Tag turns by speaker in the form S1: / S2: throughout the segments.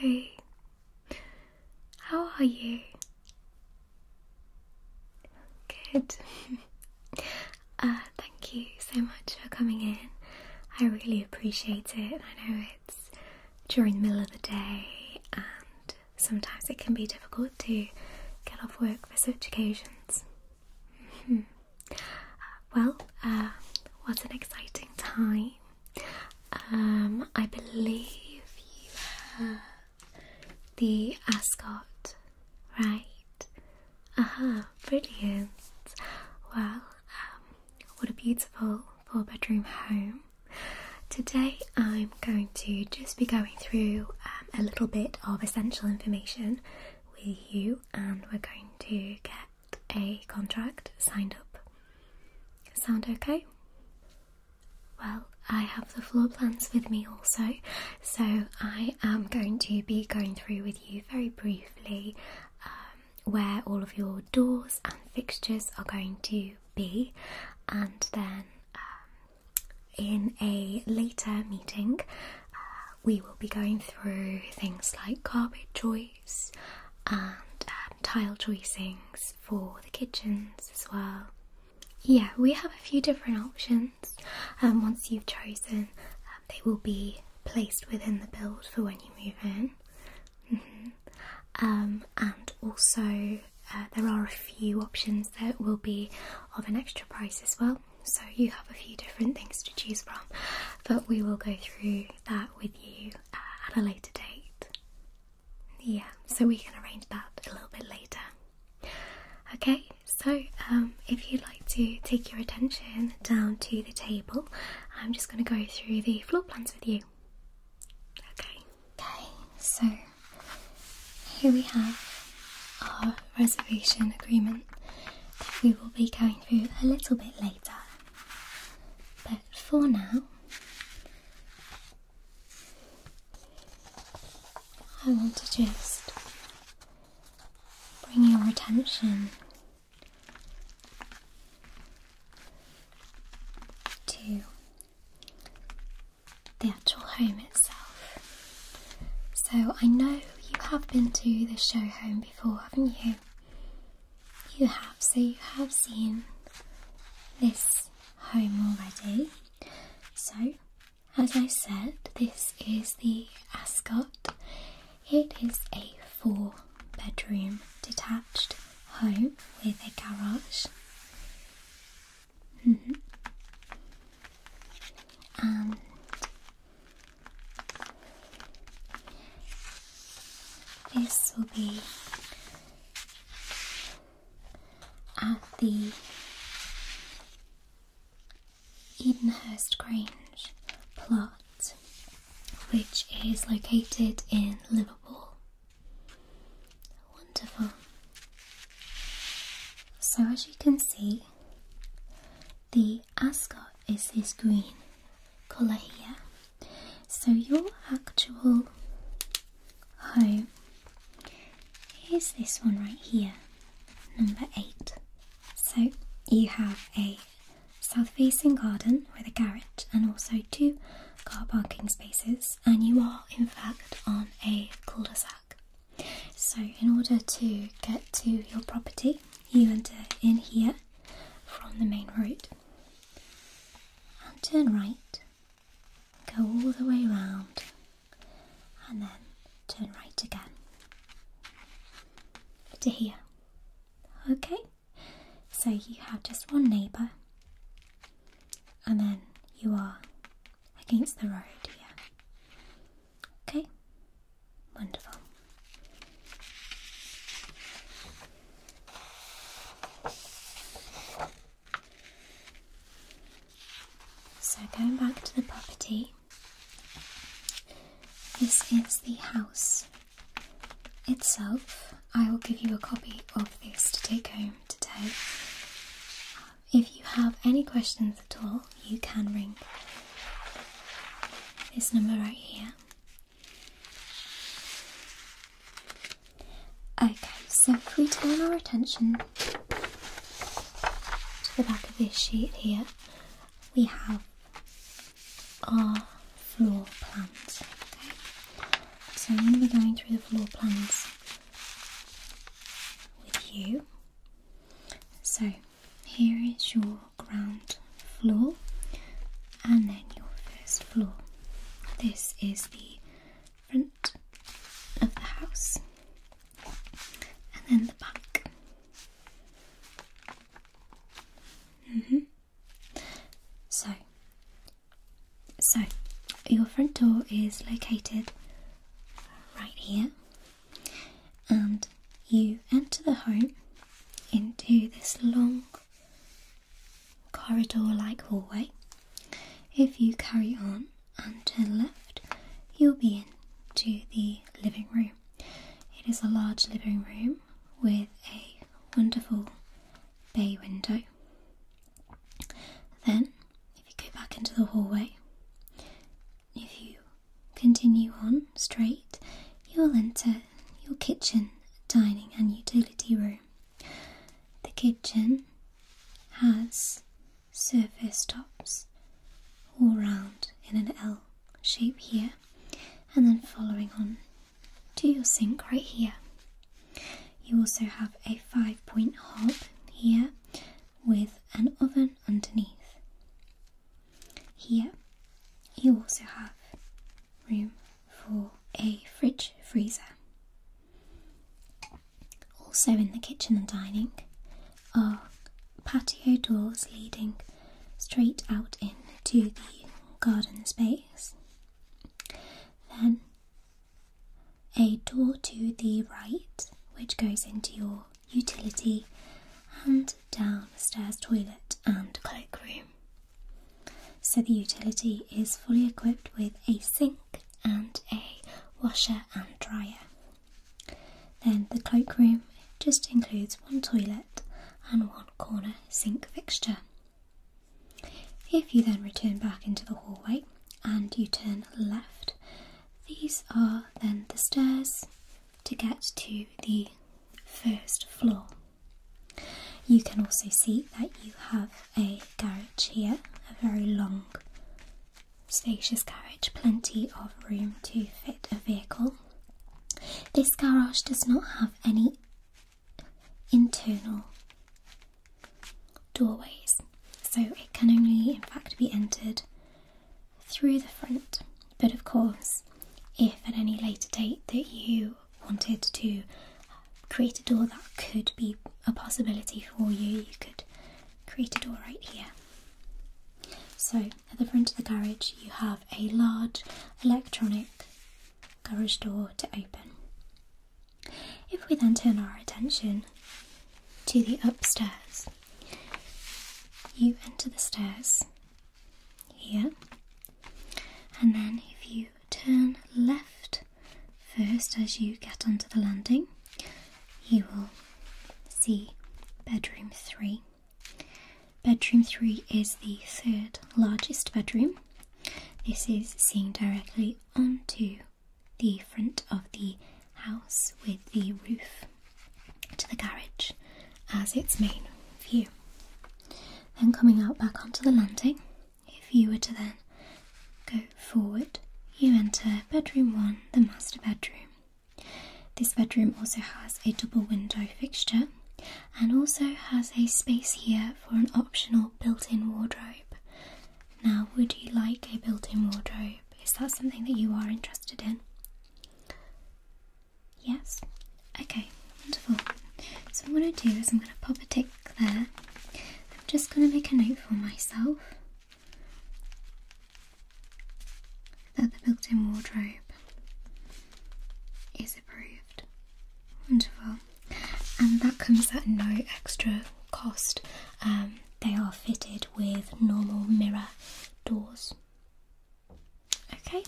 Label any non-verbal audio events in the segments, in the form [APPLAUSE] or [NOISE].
S1: Hi, how are you? Good. [LAUGHS] Uh, thank you so much for coming in. I really appreciate it. I know it's during the middle of the day, and sometimes it can be difficult to get off work for such occasions. [LAUGHS] Well, uh, what an exciting time um, I believe you have the ascot, right? Uh huh. brilliant. Well, um, what a beautiful four bedroom home. Today I'm going to just be going through um, a little bit of essential information with you, and we're going to get a contract signed up. Sound okay? Well, I have the floor plans with me also, so I am going to be going through with you very briefly um, where all of your doors and fixtures are going to be, and then um, in a later meeting, uh, we will be going through things like carpet choice and um, tile choicings for the kitchens as well. Yeah, we have a few different options. and um, once you've chosen, um, they will be placed within the build for when you move in. Mm-hmm. and also, uh, there are a few options that will be of an extra price as well. So you have a few different things to choose from, but we will go through that with you at a later date. Yeah, so we can arrange that a little bit later. Okay, so um, if you'd like to take your attention down to the table, I'm just going to go through the floor plans with you. Okay. Okay, so here we have our reservation agreement that we will be going through a little bit later. But for now, I want to just bring your attention to the actual home itself. So I know you have been to the show home before, haven't you? you have, so you have seen this home already. So, as I said, this is the Ascot. It is a four bedroom detached home with a garage. Mm-hmm. This will be at the Edenhurst Grange plot, which is located in Liverpool. Wonderful. So, as you can see, the ascot is this green colour here. So your actual home is this one right here, number eight. So you have a south facing garden with a garret and also two car parking spaces, and you are in fact on a cul de sac. So, in order to get to your property, you enter in here from the main road and turn right, go all the way around, and then turn right again to here. Okay, so you have just one neighbour, and then you are against the road here. Okay, Wonderful. So, going back to the property, this is the house itself. I will give you a copy of this to take home today. If you have any questions at all, you can ring this number right here Okay, so if we turn our attention to the back of this sheet here, we have our floor plans. Okay? So I'm going to be going through the floor plans with you. So here is your ground floor and then your first floor. This is the front of the house and then the back. Mm-hmm. So, so your front door is located right here, and you enter the home into this long corridor like hallway. If you carry on and turn left, you'll be into the living room. It is a large living room with a wonderful bay window. Then, if you go back into the hallway, if you Continue on straight, you will enter your kitchen, dining, and utility room. The kitchen has surface tops all round in an L shape here, and then following on to your sink right here. You also have a five point hob here with an oven underneath. Here you also have room for a fridge freezer. Also in the kitchen and dining are patio doors leading straight out into the garden space. Then a door to the right which goes into your utility and downstairs toilet and cloakroom. So the utility is fully equipped with a sink and a washer and dryer. Then the cloakroom just includes one toilet and one corner sink fixture. If you then return back into the hallway and you turn left, these are then the stairs to get to the first floor. You can also see that you have a garage here, a very long, spacious garage, plenty of room to fit a vehicle. This garage does not have any internal doorways, so it can only, in fact, be entered through the front. But of course, if at any later date that you wanted to create a door, that could be a possibility for you. You could create a door right here. So at the front of the garage, you have a large electronic garage door to open. If we then turn our attention to the upstairs, you enter the stairs here, and then if you turn left first as you get onto the landing, you will see bedroom three. Bedroom three is the third largest bedroom. This is seeing directly onto the front of the house with the roof to the garage as its main view. Then coming out back onto the landing, if you were to then go forward, you enter bedroom one, the master bedroom. This bedroom also has a double window fixture and also has a space here for an optional built-in wardrobe. Now, would you like a built-in wardrobe? Is that something that you are interested in? Yes? Okay, wonderful. So what i do is I'm going to pop a tick there. I'm just going to make a note for myself that the built-in wardrobe is approved. Wonderful. And that comes at no extra cost. Um, they are fitted with normal mirror doors. Okay,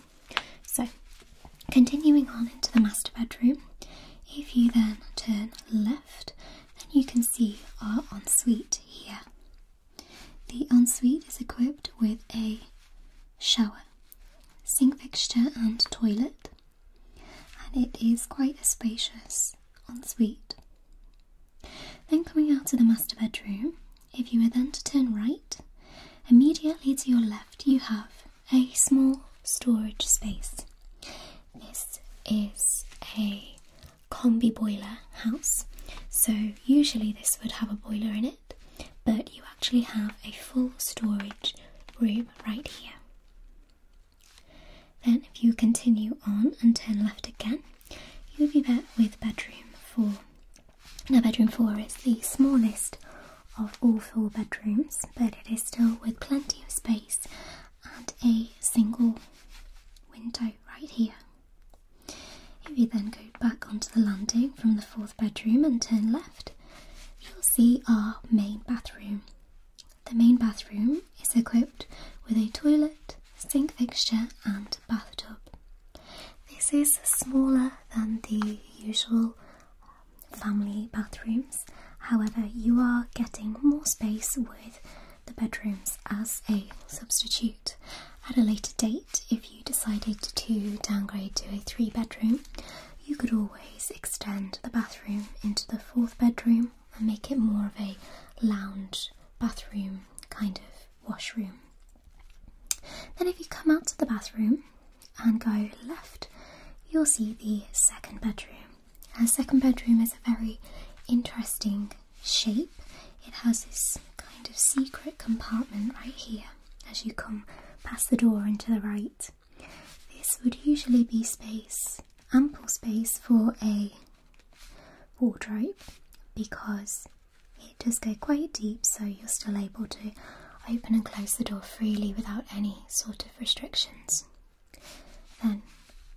S1: so continuing on into the master bedroom, if you then turn left, then you can see our ensuite here. The ensuite is equipped with a shower, sink fixture, and toilet, and it is quite a spacious ensuite. Then, coming out of the master bedroom, if you were then to turn right, immediately to your left you have a small storage space. This is a combi boiler house, so usually this would have a boiler in it, but you actually have a full storage room right here. Then, if you continue on and turn left again, you'll be back with bedroom 4. Now, bedroom four is the smallest of all four bedrooms, but it is still with plenty of space and a single window right here. If you then go back onto the landing from the fourth bedroom and turn left, you'll see our main bathroom. The main bathroom is equipped with a toilet, sink fixture, and bathtub. This is smaller than the usual um, family bathrooms, however, you are getting more space with the bedrooms as a substitute. At a later date, if you decided to downgrade to a three bedroom, you could always extend the bathroom into the fourth bedroom and make it more of a lounge bathroom kind of washroom. Then, if you come out to the bathroom and go left, you'll see the second bedroom. Our second bedroom is a very interesting shape. It has this kind of secret compartment right here as you come past the door and to the right. This would usually be space, ample space for a wardrobe because it does go quite deep, so you're still able to open and close the door freely without any sort of restrictions. Then,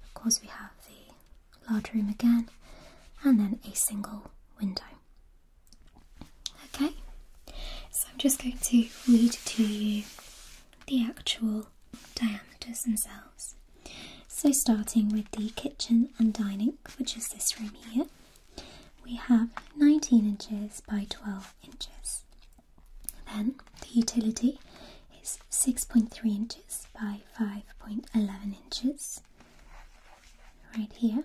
S1: of course, we have the large room again, and then a single window. Okay, so I'm just going to read to you the actual diameters themselves. So, starting with the kitchen and dining, which is this room here we have 19 inches by 12 inches. Then the utility is 6.3 inches by 5.11 inches, right here.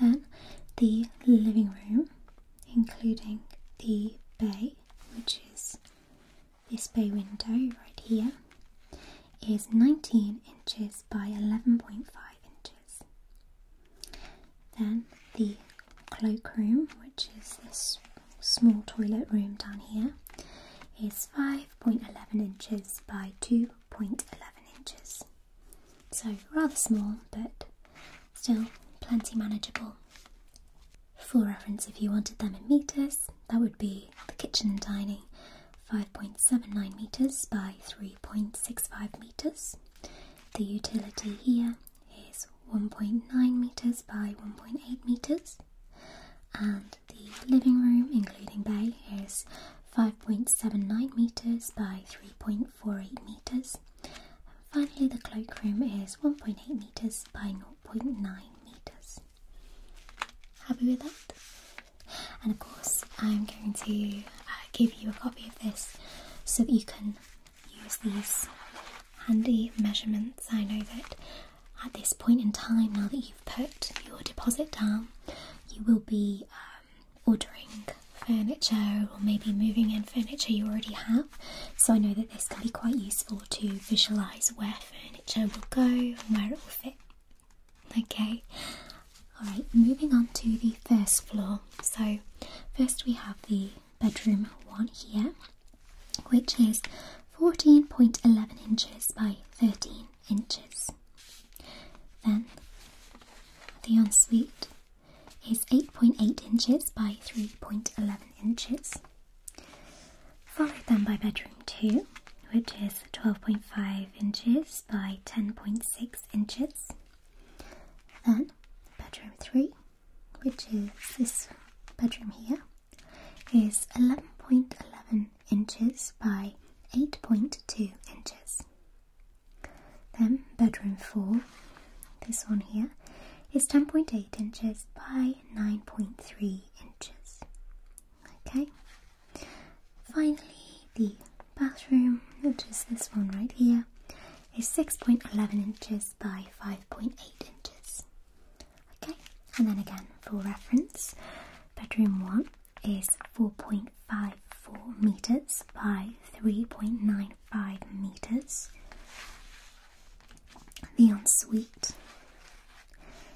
S1: Then the living room, including the bay, which is this bay window right here, is 19 inches by 11.5 inches. Then the cloakroom, which is this small toilet room down here, is 5.11 inches by 2.11 inches. So rather small, but still plenty manageable. For reference, if you wanted them in metres, that would be the kitchen and dining 5.79 meters by 3.65 meters. The utility here is 1.9 meters by 1.8 meters. And the living room, including bay, is 5.79 meters by 3.48 meters. Finally, the cloakroom is 1.8 meters by 0.9 meters. Happy with that? And of course, I'm going to give you a copy of this so that you can use these handy measurements. I know that at this point in time, now that you've put your deposit down, you will be um, ordering furniture or maybe moving in furniture you already have. So I know that this can be quite useful to visualise where furniture will go and where it will fit. Okay, alright, moving on to the first floor. So, first we have the bedroom one here, which is 14.11 inches by 13 inches. Then the ensuite is 8.8 inches by 3.11 inches, followed then by bedroom two, which is 12.5 inches by 10.6 inches. Then bedroom 3, which is this bedroom here, is 11.11 inches by 8.2 inches. Then bedroom 4, this one here, is 10.8 inches by 9.3 inches. Okay, Finally, the bathroom, which is this one right here, is 6.11 inches by 5.8 inches. Okay, and then again, for reference, bedroom 1 is 4.54 meters by 3.95 meters. The ensuite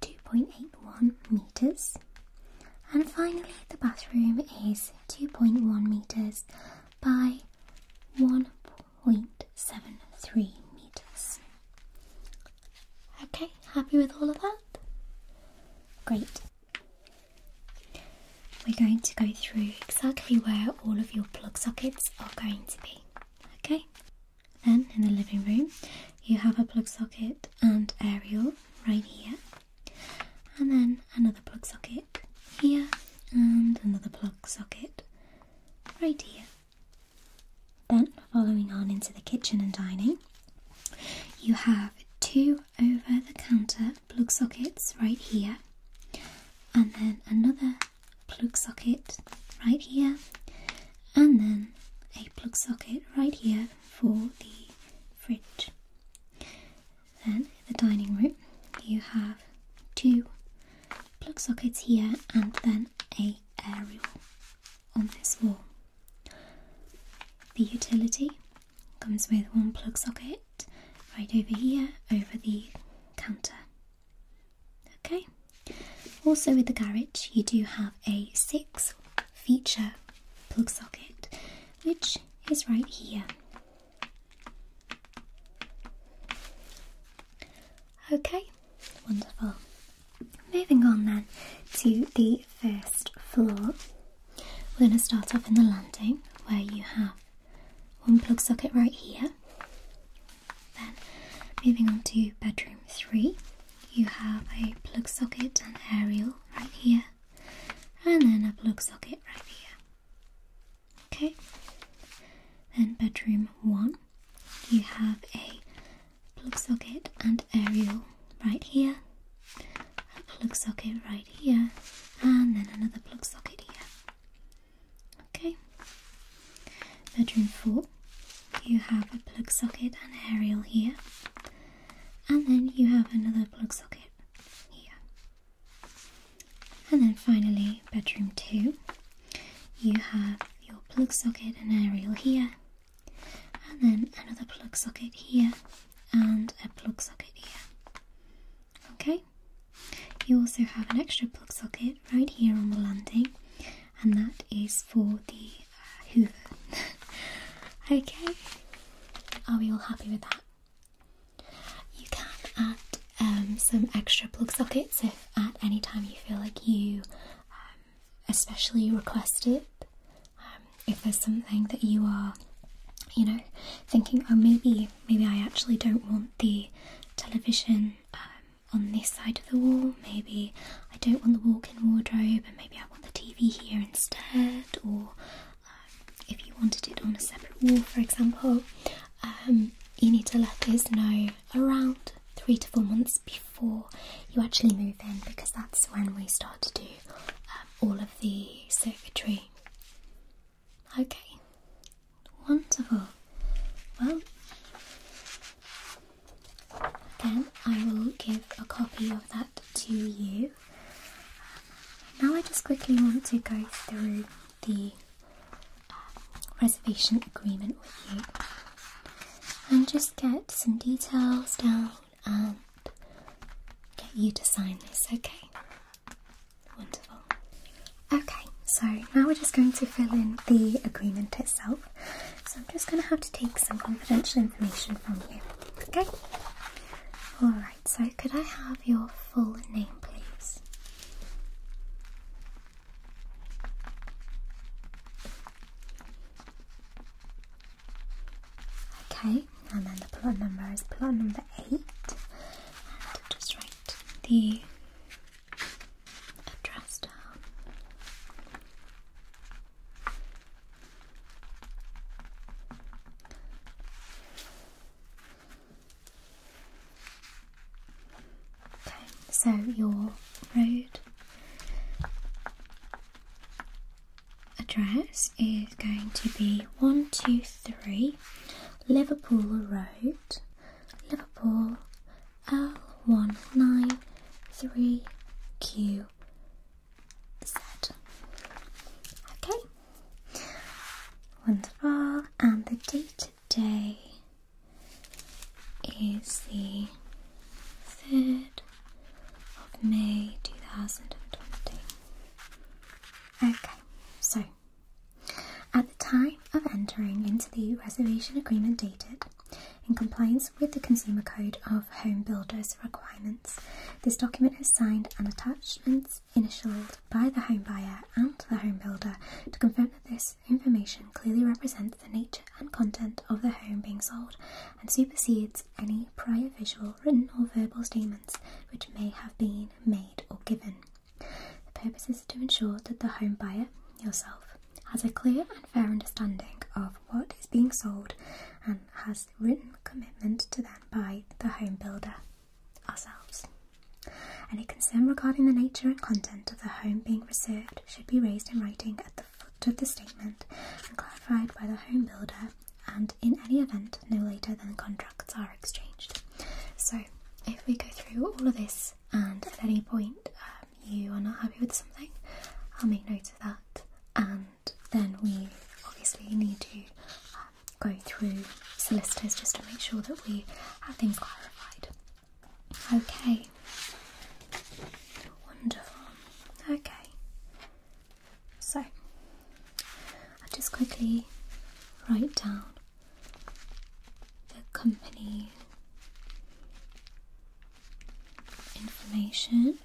S1: 2.81 meters. And finally, the bathroom is 2.1 meters by 1.73 meters. Okay, happy with all of that? Great. We're going to go through exactly where all of your plug sockets are going to be. Okay? Then in the living room, you have a plug socket and aerial right here, and then another plug socket here, and another plug socket right here. Then, following on into the kitchen and dining, you have two over the counter plug sockets right here, and then another plug socket right here, and then a plug socket right here for the fridge. Then the dining room, you have two plug sockets here and then a aerial on this wall. The utility comes with one plug socket right over here over the counter. Okay. Also with the garage you do have a six feature plug socket, which is right here. Okay, wonderful. Moving on then to the first floor. We're going to start off in the landing where you have one plug socket right here. Then moving on to bedroom three, you have a plug socket and aerial right here and then a plug socket right here okay then bedroom one you have a plug socket and aerial right here a plug socket right here and then another plug socket here okay bedroom four you have a plug socket and aerial here and then you have another plug socket here. And then finally, bedroom 2, you have your plug socket and aerial here, and then another plug socket here, and a plug socket here. Okay, you also have an extra plug socket right here on the landing, and that is for the [LAUGHS] okay, are we all happy with that? You can add um, some extra plug sockets if at any time you feel like you um, especially request it. Um, if there's something that you are, you know, thinking, oh maybe, maybe I actually don't want the television on this side of the wall. Maybe I don't want the walk-in wardrobe, and maybe I the TV here instead, or um, if you wanted it on a separate wall, for example, um, you need to let us know around three to four months before you actually move in because that's when we start to do um, all of the circuitry. Okay, wonderful. Well, then I will give a copy of that to you. Now, I just quickly want to go through the um, reservation agreement with you and just get some details down and get you to sign this, okay? Wonderful. Okay, so now we're just going to fill in the agreement itself. So I'm just going to have to take some confidential information from you. Okay? Alright, so could I have your full name, please? Okay, and then the plot number is plot number 8. And just write the address down so your road address is going to be 123 Liverpool Road, Liverpool l 193 Q. Okay. Wonderful. And the date today is the 3rd of May 2020. Okay, so at the time of entering into the reservation agreement dated in compliance with the Consumer Code of Home Builders requirements. This document is signed and attachments initialed by the home buyer and the home builder to confirm that this information clearly represents the nature and content of the home being sold and supersedes any prior visual, written or verbal statements which may have been made or given. The purpose is to ensure that the home buyer, yourself, has a clear and fair understanding of what is being sold and has written commitment to that by the home builder, ourselves. Any concern regarding the nature and content of the home being reserved should be raised in writing at the foot of the statement and clarified by the home builder and in any event no later than the contracts are exchanged. So if we go through all of this and at any point uh, you are not happy with something, I'll make notes of that. And then we obviously need to um, go through solicitors just to make sure that we have things clarified. Okay. Wonderful. Okay. So, I'll just quickly write down the company information.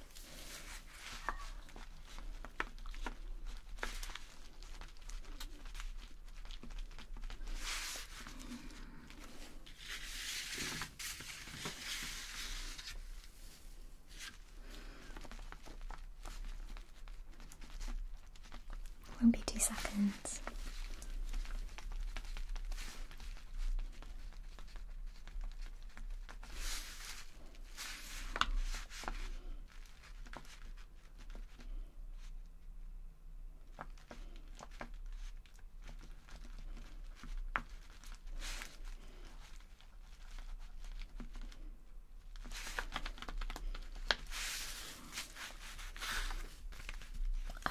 S1: Won't be two seconds.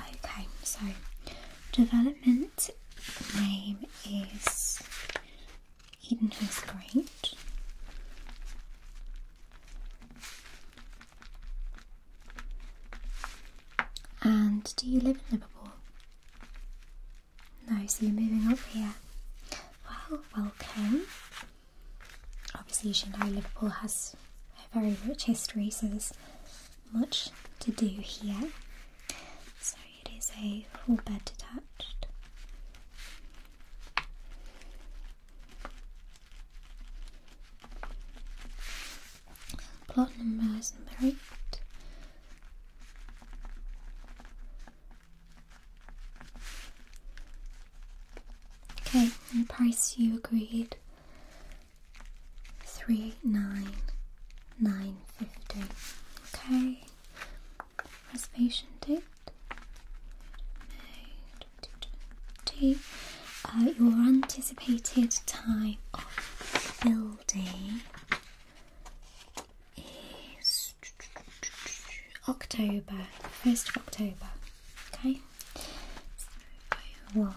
S1: Okay, so development name name is Edenhurst Grange. And do you live in Liverpool? No, so you're moving up here. Well, welcome. Obviously, you should know Liverpool has a very rich history, so there's much to do here it is a full bed detached. Plot number is number eight. Okay, and price you agreed three nine 9.50. Okay. Reservation date. Uh, your anticipated time of building is October, 1st of October. Okay? So,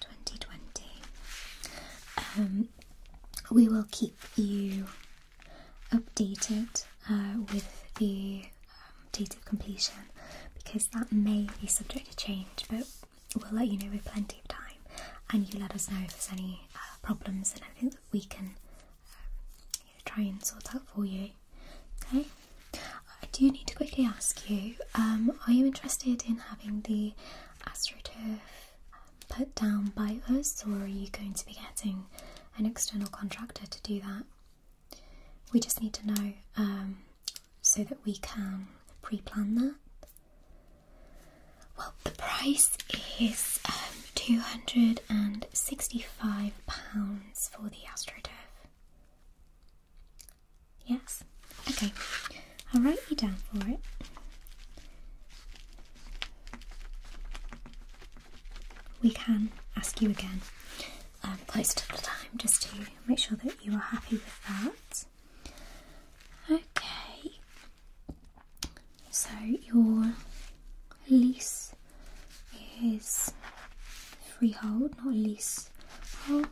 S1: 2020. Um, we will keep you updated uh, with the um, date of completion because that may be subject to change, but we'll let you know with plenty of time and you let us know if there's any uh, problems and anything that we can um, try and sort out for you. Okay. I do need to quickly ask you are you interested in having the AstroTurf um, put down by us, or are you going to be getting an external contractor to do that? We just need to know um, so that we can pre plan that. Well, the price is um, £265 for the AstroTurf. Yes? Okay, I'll write you down for it. We can ask you again um, close to the time just to make sure that you are happy with that. Okay, so your lease is freehold, not leasehold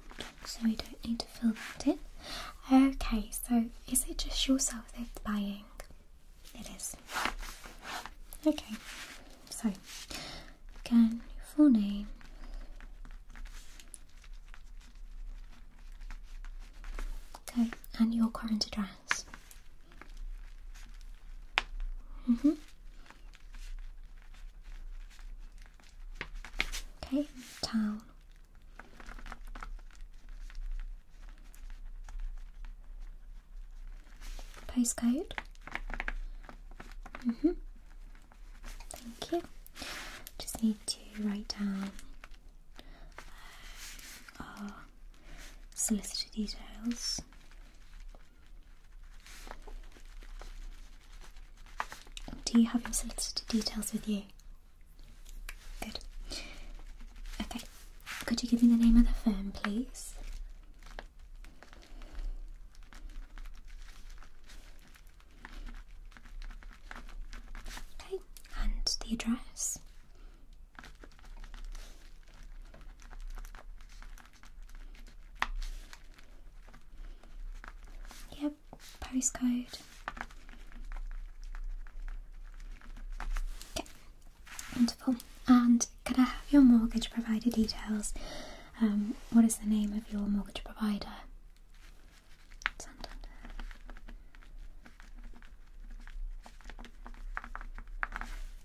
S1: so we don't need to fill that in. Okay, so is it just yourself that's buying? It is. Okay, so again, your full name. Okay, and your current address. Mm hmm Okay, town. Postcode. Mm -hmm. Thank you. Just need to write down uh, our solicitor details. Do you have your solicitor details with you? Good. Okay. Could you give me the name of the firm, please? Okay. And the address? Yep postcode. Okay, wonderful. And can I have your mortgage provider details? Um, what is the name of your mortgage provider? Santander.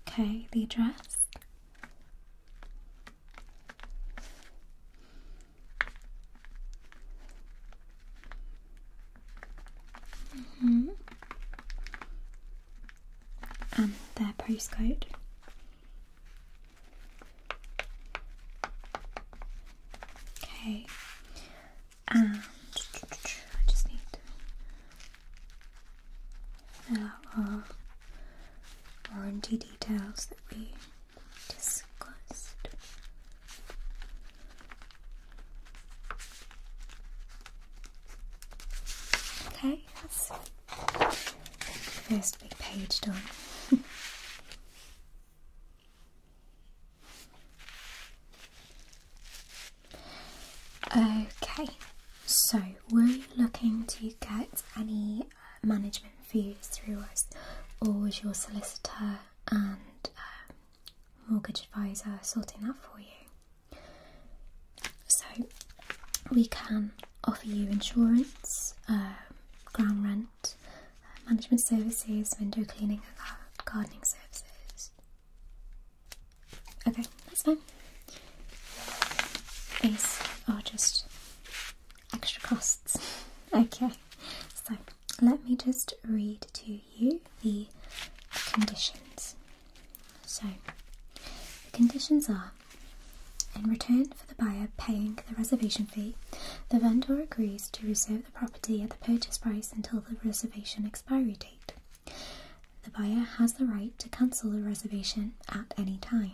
S1: Okay, the address hmm And um, their postcode. Okay. And I just need to warranty details that we disgust. Okay, that's first big page done. okay, so were you looking to get any uh, management fees through us, or was your solicitor and uh, mortgage advisor sorting that for you. So, we can offer you insurance, um, ground rent, uh, management services, window cleaning, uh, gardening services. Okay, that's fine. These are just extra costs. [LAUGHS] okay, so let me just read to you the conditions. So, the conditions are in return for the buyer paying the reservation fee, the vendor agrees to reserve the property at the purchase price until the reservation expiry date. The buyer has the right to cancel the reservation at any time.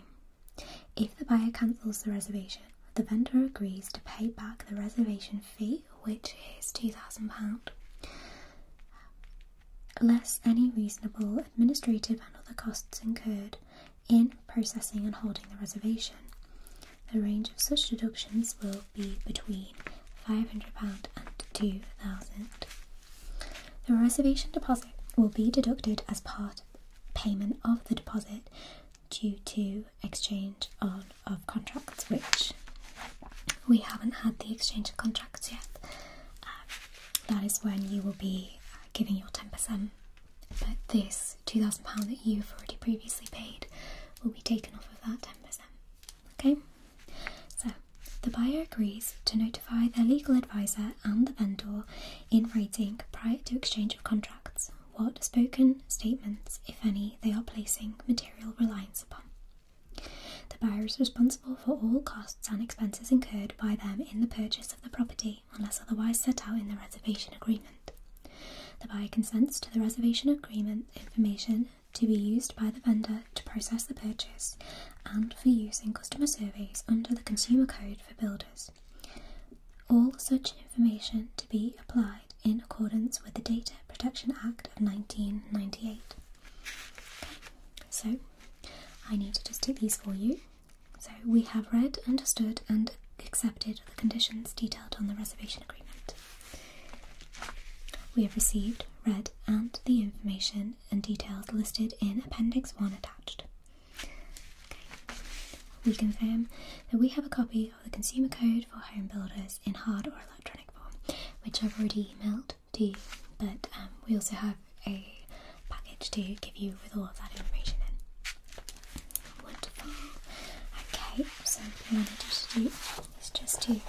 S1: If the buyer cancels the reservation, the vendor agrees to pay back the reservation fee, which is £2,000, less any reasonable administrative and other costs incurred in processing and holding the reservation. The range of such deductions will be between £500 and £2,000. The reservation deposit will be deducted as part payment of the deposit due to exchange of contracts, which we haven't had the exchange of contracts yet. Um, that is when you will be uh, giving your 10%, but this £2,000 that you've already previously paid will be taken off of that 10%. Okay? So, the buyer agrees to notify their legal advisor and the vendor in writing prior to exchange of contracts what spoken statements, if any, they are placing material reliance upon. The buyer is responsible for all costs and expenses incurred by them in the purchase of the property unless otherwise set out in the reservation agreement. The buyer consents to the reservation agreement information to be used by the vendor to process the purchase and for use in customer surveys under the Consumer Code for builders. All such information to be applied in accordance with the Data Protection Act of 1998. so I need to just do these for you. So we have read, understood, and accepted the conditions detailed on the reservation agreement. We have received, read, and the information and details listed in Appendix 1 attached. We confirm that we have a copy of the Consumer Code for Home Builders in hard or electronic form, which I've already emailed to you, but um, we also have a package to give you with all of that information in. Wonderful. Okay, so what I want you to do is just to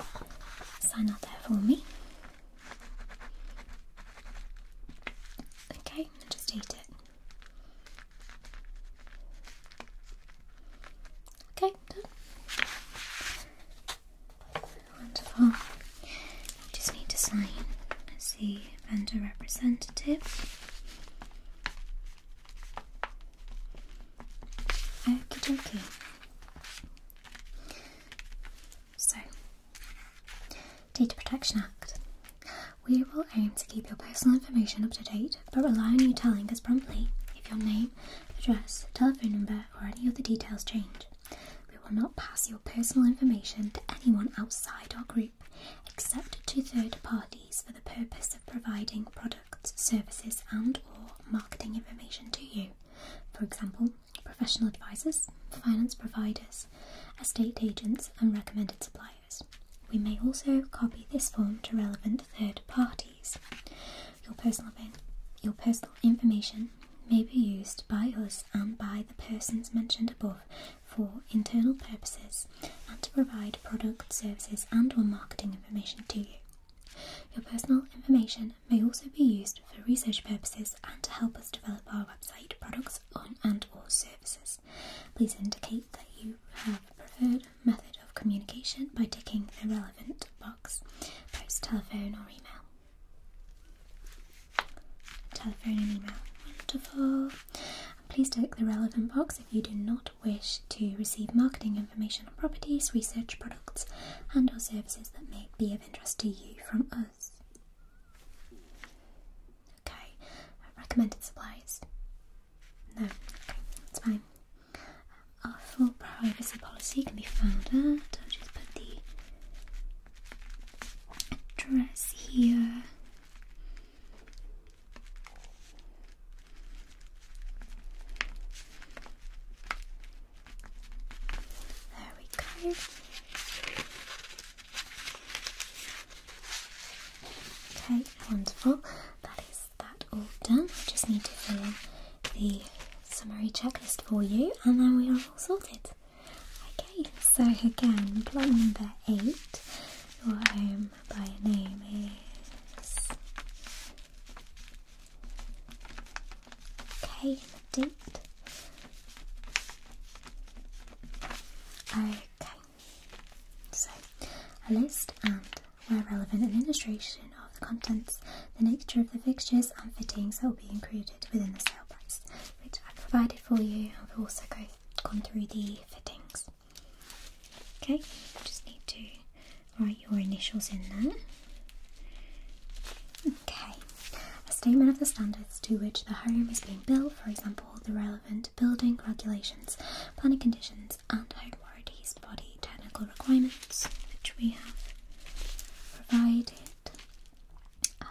S1: sign up there for me. Okay, just eat it. Okay, done. Wonderful. just need to sign Let's see, vendor representative. Okie dokie. So, Data Protection Act. We will aim to keep your personal information up to date, but rely on you telling us promptly if your name, address, telephone number, or any other details change. We will not pass your personal information to anyone outside our group except to third parties for the purpose of providing products, services, and or marketing information to you. For example, professional advisors, finance providers, estate agents, and recommended suppliers. We may also copy this form to relevant third parties. Your personal, your personal information may be used by us and by the persons mentioned above for internal purposes and to provide product, services and or marketing information to you. Your personal information may also be used for research purposes and to help us develop our website, products on and or services. Please indicate that you have preferred method of communication by ticking the relevant box, post, telephone, or email. Telephone and email. Wonderful. Please tick the relevant box if you do not wish to receive marketing information on properties, research products, and or services that may be of interest to you from us. Okay, recommended suppliers. No, okay, that's fine. our full privacy policy can be found at. I'll just put the address here. There we go. Okay, wonderful. That is that all done. I just need to fill in the summary checklist for you, and then we are all sorted. Okay, so again, plan number eight. Your home by name is. Okay, date. Okay, so, a list and, where relevant, an illustration of the contents, the nature of the fixtures and fittings that will be included within the sale price, which I have provided for you. I've also go, gone through the fittings. Okay, just need to write your initials in there. Okay, a statement of the standards to which the home is being built, for example, the relevant building regulations, planning conditions, and home warranties body technical requirements, which we have provided. Uh,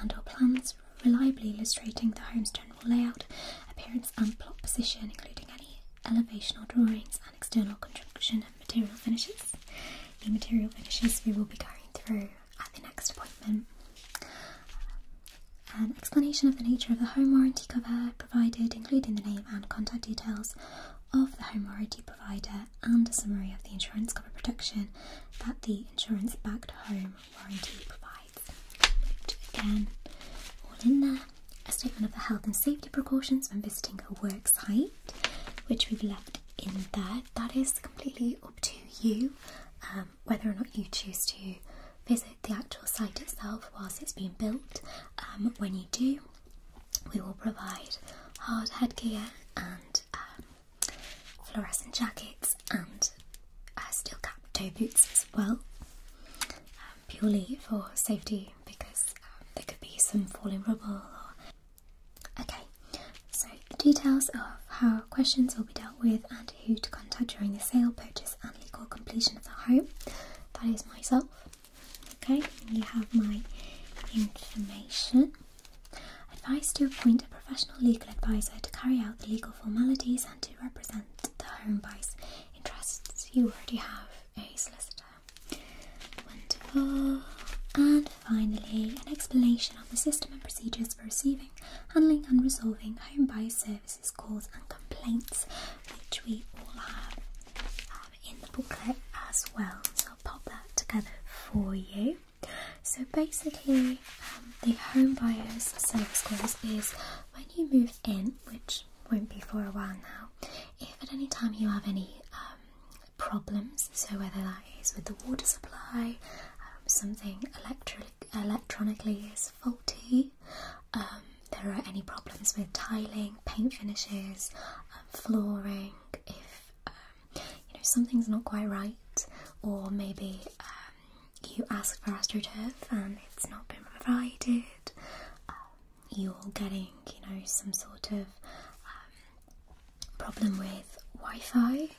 S1: and or plans reliably illustrating the home's general layout, appearance and plot position, including any elevational drawings and external construction and material finishes. The material finishes we will be going through at the next appointment. An um, explanation of the nature of the home warranty cover provided, including the name and contact details of the home warranty provider, and a summary of the insurance cover protection that the insurance backed home warranty provides. again, all in there. A statement of the health and safety precautions when visiting a work site, which we've left in there. That is completely up to you um, whether or not you choose to visit the actual site itself whilst it's being built. Um, when you do, we will provide hard headgear and um, fluorescent jackets and uh, steel cap toe boots as well, um, purely for safety because there could be some falling rubble. Okay, so the details of how questions will be dealt with and who to contact during the sale, purchase, and legal completion of the home. That is myself. Okay, you have my information. Advice to appoint a professional legal advisor to carry out the legal formalities and to represent the home buyer's interests. You already have a solicitor. Wonderful. And finally, an explanation on the system and procedures for receiving, handling, and resolving home buyer grievances, calls, and complaints, which we all have um, in the booklet as well. So I'll pop that together for you. So basically, um, the home buyer's service clause is when you move in, which won't be for a while now, if at any time you have any um, problems, so whether that is with the water supply, something electrical electronically is faulty. Um, there are any problems with tiling, paint finishes, um, flooring. If um, you know something's not quite right, or maybe you asked for astroturf and it's not been provided, you're getting you know some sort of problem with Wi-Fi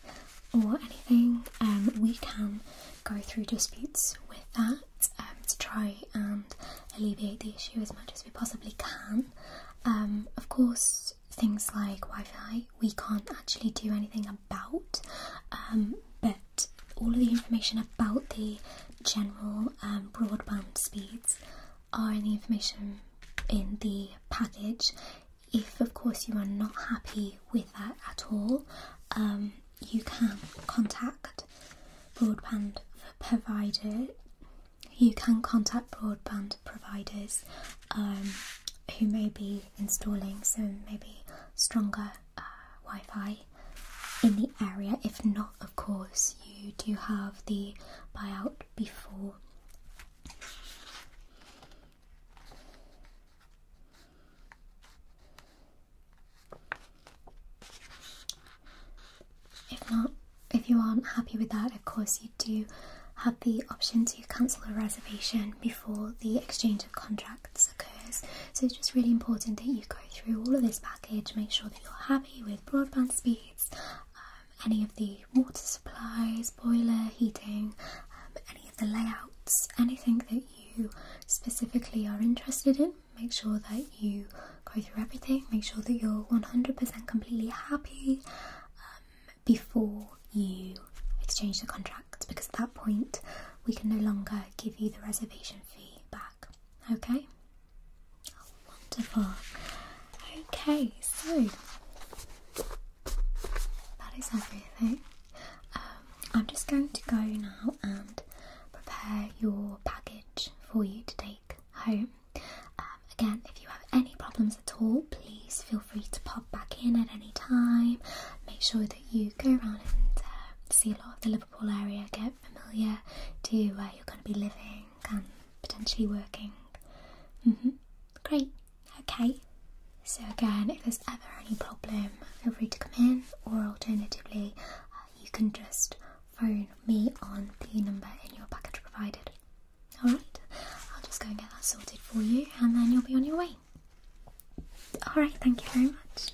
S1: or anything, um, we can go through disputes with that um, to try and alleviate the issue as much as we possibly can. Um, of course, things like Wi Fi we can't actually do anything about, um, but all of the information about the general broadband speeds are in the information in the package. If, of course, you are not happy with that at all, you can contact broadband provider. You can contact broadband providers um, who may be installing some maybe stronger uh, Wi-Fi in the area. If not, of course, you do have the buyout before. If not, if you aren't happy with that, of course you do have the option to cancel a reservation before the exchange of contracts occurs. So it's just really important that you go through all of this package, make sure that you're happy with broadband speeds, um, any of the water supplies, boiler, heating, um, any of the layouts, anything that you specifically are interested in. Make sure that you go through everything, make sure that you're 100% completely happy um, before you exchange the contract because at that point we can no longer give you the reservation fee back. Okay? Oh, wonderful. Okay, so that is everything. Um, I'm just going to go now and prepare your package for you to take home. Um, again, if you have any problems at all, please feel free to pop back in at any time. Make sure that you go around and uh, see a lot of the Liverpool area, get familiar to where you're going to be living and potentially working. Mm-hmm. Great, okay. So again, if there's ever any problem, feel free to come in, or alternatively, uh, you can just phone me on the number in your package provided. Alright, I'll just go and get that sorted for you, and then you'll be on your way. Alright, thank you very much.